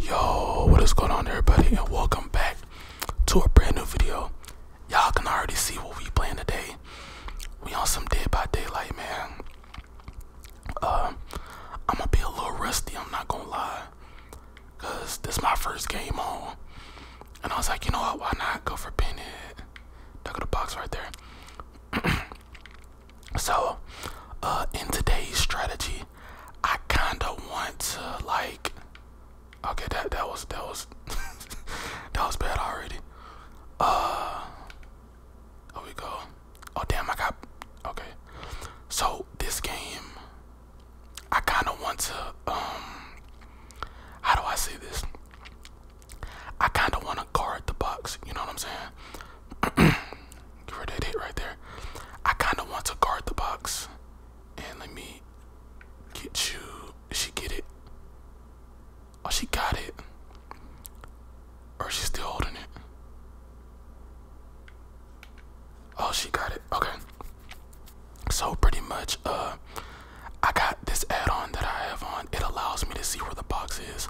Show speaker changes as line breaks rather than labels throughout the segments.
yo what is going on everybody and welcome back to a brand new video y'all can already see what we playing today we on some dead by daylight man uh, i'm gonna be a little rusty i'm not gonna lie because this my first game on and i was like you know what why not go for pinhead look at the box right there so uh in today's strategy I kind of want to like. Okay, that that was that was that was bad already. Uh, there we go. Oh damn, I got okay. So this game, I kind of want to um. How do I say this? I kind of want to guard the box. You know what I'm saying? Give that hit right there. I kind of want to guard the box. And let me get you. she get it? Oh, she got it. Or she's still holding it. Oh, she got it. Okay. So pretty much, uh, I got this add-on that I have on. It allows me to see where the box is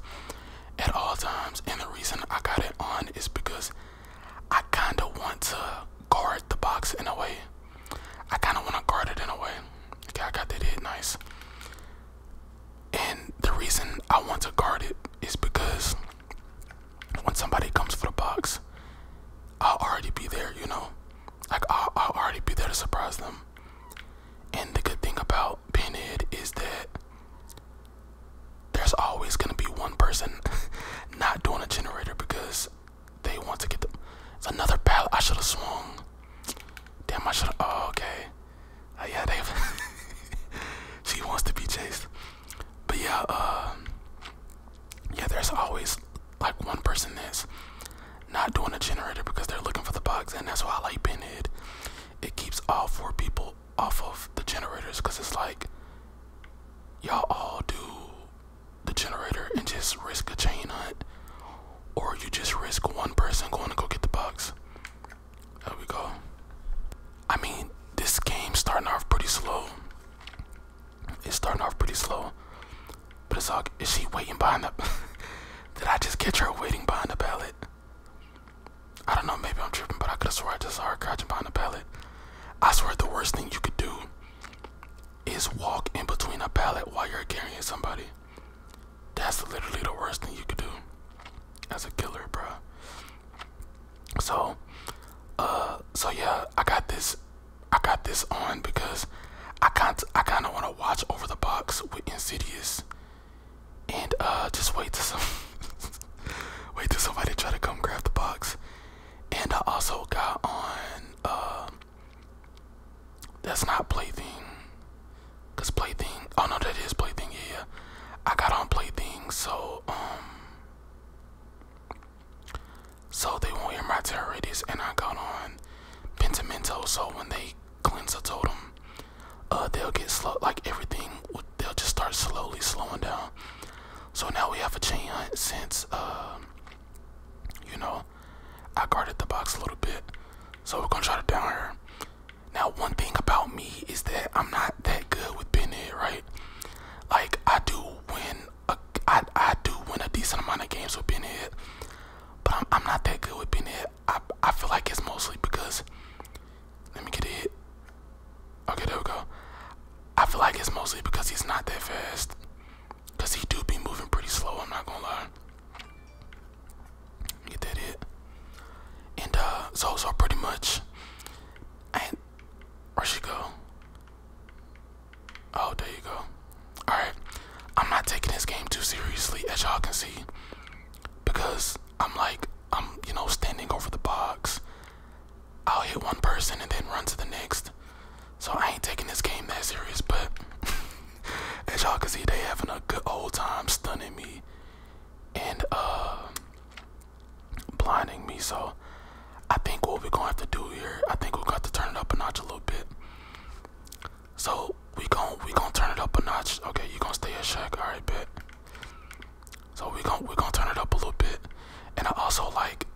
at all times. And the reason I got it on is because I kind of want to guard the box in a way. I kind of want to guard it in a way. Okay, I got that hit nice. And the reason I want to guard it is because when somebody comes for the box, i already be there, you know? Like, I'll, already be there to surprise them. And the good thing about pinhead is that there's always gonna be one person not doing a generator because they want to get the. It's another pallet. I should have swung. Damn, I should have. Oh, okay. Uh, yeah, they. she wants to be chased. But yeah, uh, yeah, there's always like one person is not doing a generator because they're looking for the bugs, and that's why I like Pinhead. It keeps all four people off of the generators because it's like y'all all do the generator and just risk a chain hunt or you just risk one person going to go get the box there we go i mean this game starting off pretty slow it's starting off pretty slow but it's like is she waiting behind the did i just catch her waiting behind the ballot I don't know, maybe I'm tripping, but I could have swore I just saw her crouching behind a pallet. I swear the worst thing you could do is walk in between a pallet while you're carrying somebody. That's literally the worst thing you could do as a killer, bruh. So, uh, so yeah, I got this, I got this on because I can't, I kind of want to watch over the box with Insidious, and uh, just wait to some, wait till somebody try to come grab the box, and I also got on uh that's not plaything cause plaything oh no that is plaything yeah I got on plaything so um so they won't hear my terrorists and I got on Pentimento so when they cleanse a totem uh they'll get slow like everything will they'll just start slowly slowing down. So now we have a chain hunt since uh, you know I guarded the box a little bit. So we're gonna try to down her. Now one thing about me is that I'm not that good with pin hit, right? Like I do win a I, I do win a decent amount of games with pin hit, but I'm, I'm not that good with pin hit. I I feel like it's mostly because let me get a hit. Okay, there we go. I feel like it's mostly because he's not that fast. Cause he do be moving pretty slow, I'm not gonna lie. Get that hit. And uh so so pretty much I where she go? Oh there you go. Alright. I'm not taking this game too seriously as y'all can see. Because I'm like I'm you know standing over the box. I'll hit one person and then run to the next. So I ain't taking this game that serious, but as y'all can see, they having a good old time stunning me and uh blinding me. So I think what we're gonna have to do here, I think we got to turn it up a notch a little bit. So we gonna we gonna turn it up a notch. Okay, you gonna stay in Shaq, alright bet. So we're gonna we're turn it up a little bit. And I also like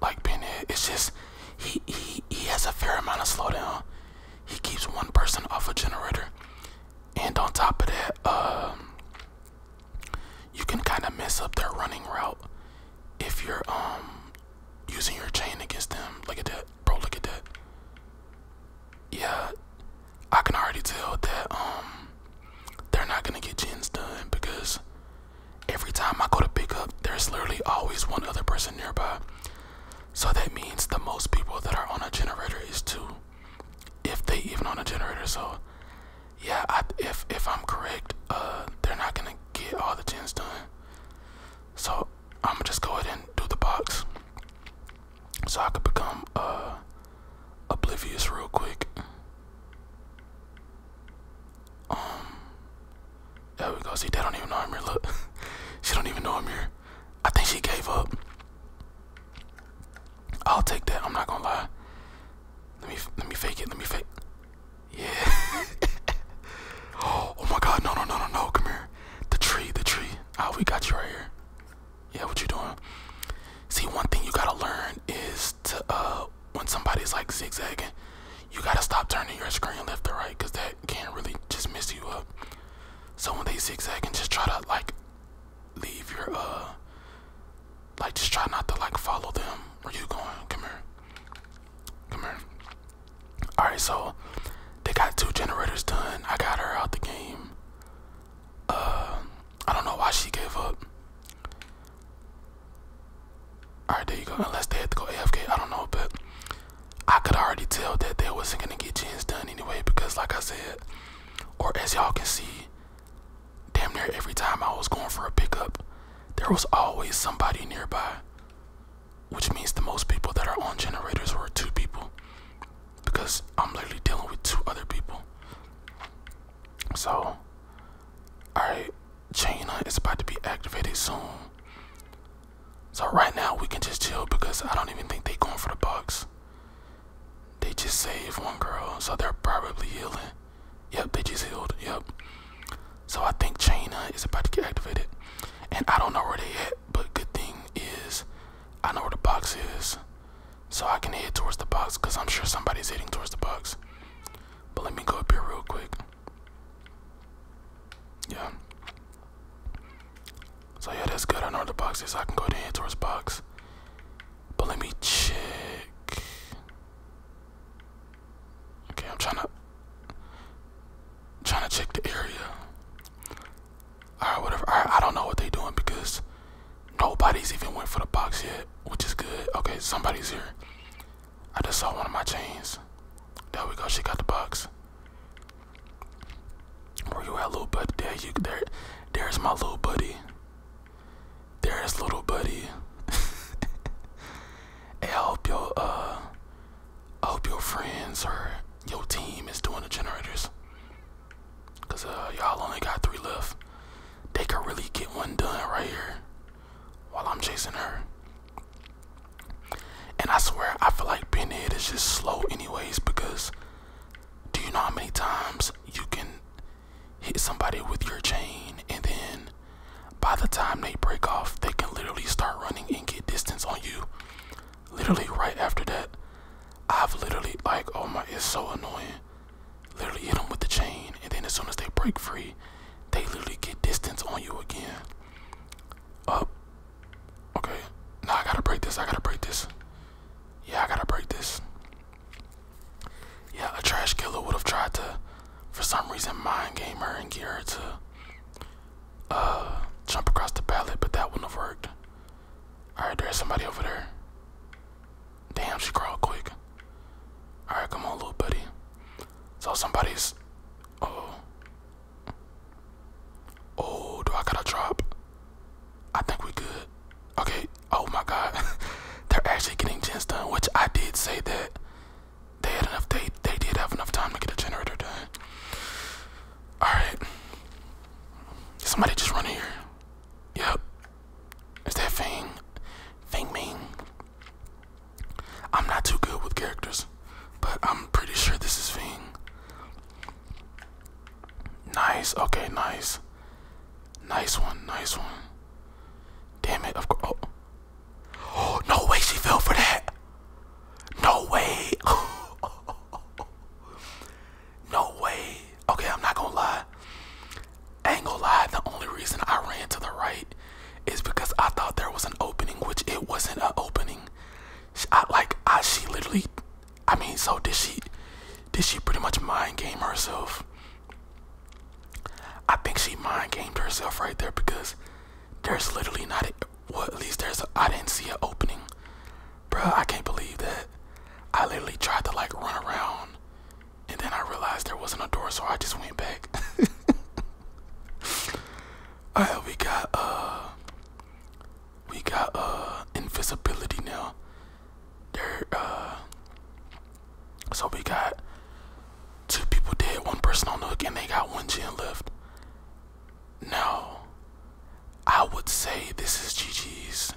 like Ben Head. It's just he he he has a fair amount of slowdown. He keeps one person off a generator. And on top of that, um you can kinda mess up their running route if you're um using your chain against them. Look at that, bro, look at that. Yeah, I can already tell that um they're not gonna get gens done because every time I go to pick up, there's literally always one other person nearby. So that means the most people that are on a generator is two, if they even on a generator. So yeah, if if I'm correct, uh, they're not gonna get all the gens done. So I'm gonna just go ahead and do the box, so I could become uh oblivious real quick. Um, there we go. See, they don't even know I'm here. Look, she don't even know I'm here. I think she gave up. I'll take that. I'm not gonna lie. Let me let me fake it. Let me fake. Yeah. oh, my God! No no no no no! Come here. The tree, the tree. Ah, oh, we got you right here. Yeah, what you doing? See, one thing you gotta learn is to uh when somebody's like zigzagging. You gotta stop turning your screen left or right because that can really just mess you up. So when they zigzag and just try to like leave your uh like just try not to like follow them. Where you going? Come here. Come here. Alright, so they got two generators done. I got her out the game. Uh I don't know why she gave up. Alright, there you go. Unless they had to go AFK, I don't know, but I could already tell that they wasn't gonna get Jens done anyway because like I said, or as y'all can see, damn near every time I was going for a pickup, there was always somebody nearby. Which means the most people that are on generators were two people. Because I'm literally dealing with two other people. So, alright, Jaina is about to be activated soon. So right now we can just chill because I don't even think they are going for the bucks. They just saved one girl, so they're probably healing. Yep, they just healed. Yep. So I think Jaina is about to get activated. And I don't know where they at, but good thing is I know where the box is. So I can head towards the box because I'm sure somebody's heading towards the box. But let me go up here real quick. Yeah. So yeah, that's good. I know the box is. I can go to the towards box. But let me check. Okay, I'm trying to trying to check the area. Alright, whatever. Alright, I don't know what they doing because Nobody's even went for the box yet, which is good. Okay, somebody's here. I just saw one of my chains. There we go. She got the box. Where you at, little buddy? There there. There's my little buddy. There's little buddy. I hope your uh, I hope your friends or your team is doing the generators. Cause uh, y'all only got three left they could really get one done right here while I'm chasing her. And I swear, I feel like Pinhead is just slow, anyways, because do you know how many times you can hit somebody with your chain and then by the time they break off, they can literally start running and get distance on you? Literally, right after that, I've literally, like, oh my, it's so annoying literally hit them with the chain, and then as soon as they break free, they literally get distance on you again. Up. Okay. Now I gotta break this. I gotta break this. Yeah, I gotta break this. Yeah, a trash killer would have tried to, for some reason, mind game her and get her to uh, jump across the pallet, but that wouldn't have worked. Alright, there's somebody over there. Damn, she crawled quick. Alright, come on, little buddy. So somebody's. Oh. Oh, do I gotta drop? I think we good. Okay. Oh my God, they're actually getting gens done, which I did say that they had enough. They they did have enough time to get a generator done. All right. Somebody just run here. Yep. Is that Fang? Fang Ming? I'm not too good with characters, but I'm pretty sure this is Fang. Nice, okay, nice. Nice one, nice one. Damn it, of course. oh, no way she fell for that. No way. no way. Okay, I'm not gonna lie. Angle lied. the only reason I ran to the right is because I thought there was an opening, which it wasn't an opening. I, like I, she literally, I mean, so did she? Did she pretty much mind game herself? I think she mind gamed herself right there because there's literally not a, well, at least there's I didn't see an opening, bro. I can't believe that. I literally tried to like run around and then I realized there wasn't a door, so I just went back. Alright, we got uh we got uh invisibility now. There uh so we got two people dead, one person on the hook, and they got one chin left. Now I would say this is GG's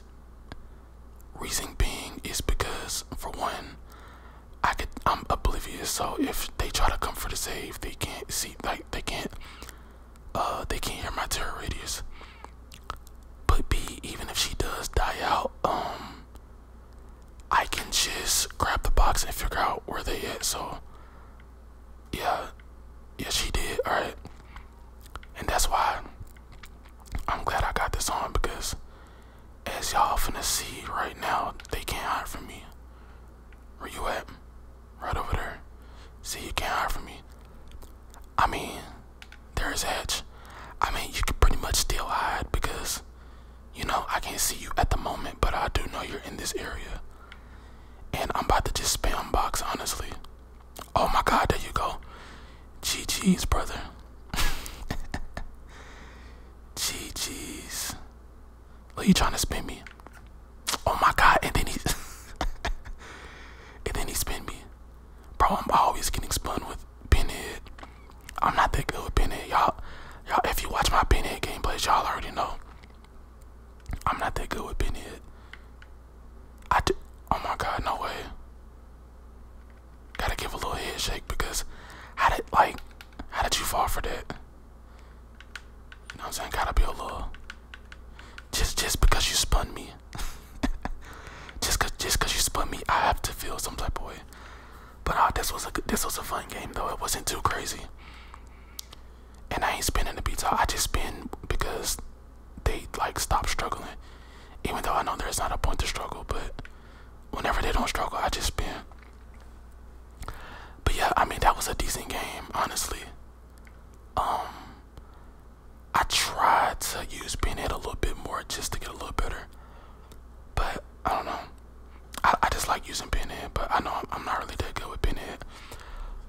Reason being is because for one, I could I'm oblivious. So if they try to come for the save, they can't see like they can't uh they can't hear my terror radius. But B, even if she does die out, um, I can just grab the box and figure out where they at. So yeah, yeah, she did. All right, and that's why I'm glad I got this on because as y'all finna see right now, they can't hide from me. Where you at? Right over there. See, you can't hide from me. I mean, there's Edge. I mean, you can pretty much still hide because, you know, I can't see you at the moment, but I do know you're in this area. And I'm about to just spam box, honestly. Oh my god, there you go. GG's, brother. What are you trying to spin me. Oh my god, and then he and then he spin me. Bro, I'm always getting spun with pinhead. I'm not that good with pinhead, y'all. Y'all if you watch my pinhead gameplays, y'all already know. I'm not that good with pinhead. I do oh my god, no way. Gotta give a little head shake because how did like how did you fall for that? You know what I'm saying? Gotta be a little just just because you spun me. just cause just cause you spun me, I have to feel some type of way. But uh, this was a this was a fun game though. It wasn't too crazy. And I ain't spinning the beats out. I just spin because they like stop struggling. Even though I know there's not a point to struggle, but whenever they don't struggle, I just spin. But yeah, I mean that was a decent game, honestly. Um, I tried to use pinhead a little bit more just to get a little better, but I don't know. I, I just like using pinhead, but I know I'm, I'm not really that good with pinhead.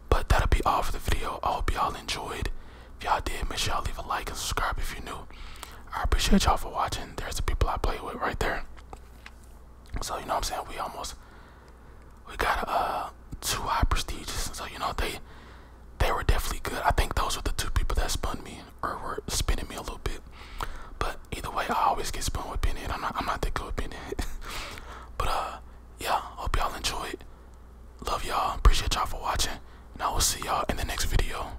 But that'll be all for the video. I hope y'all enjoyed. If y'all did, make sure y'all leave a like and subscribe if you're new. I appreciate y'all for watching. There's the people I play with right there. So you know what I'm saying? We almost we got uh two high prestigious. So you know they they were definitely good. I think those were the two people that spun me or were spinning me a little bit. But either way, I always get spun with Benny. I'm not I'm not that good with Benny. but uh yeah, hope y'all enjoy it. Love y'all. Appreciate y'all for watching. And I will see y'all in the next video.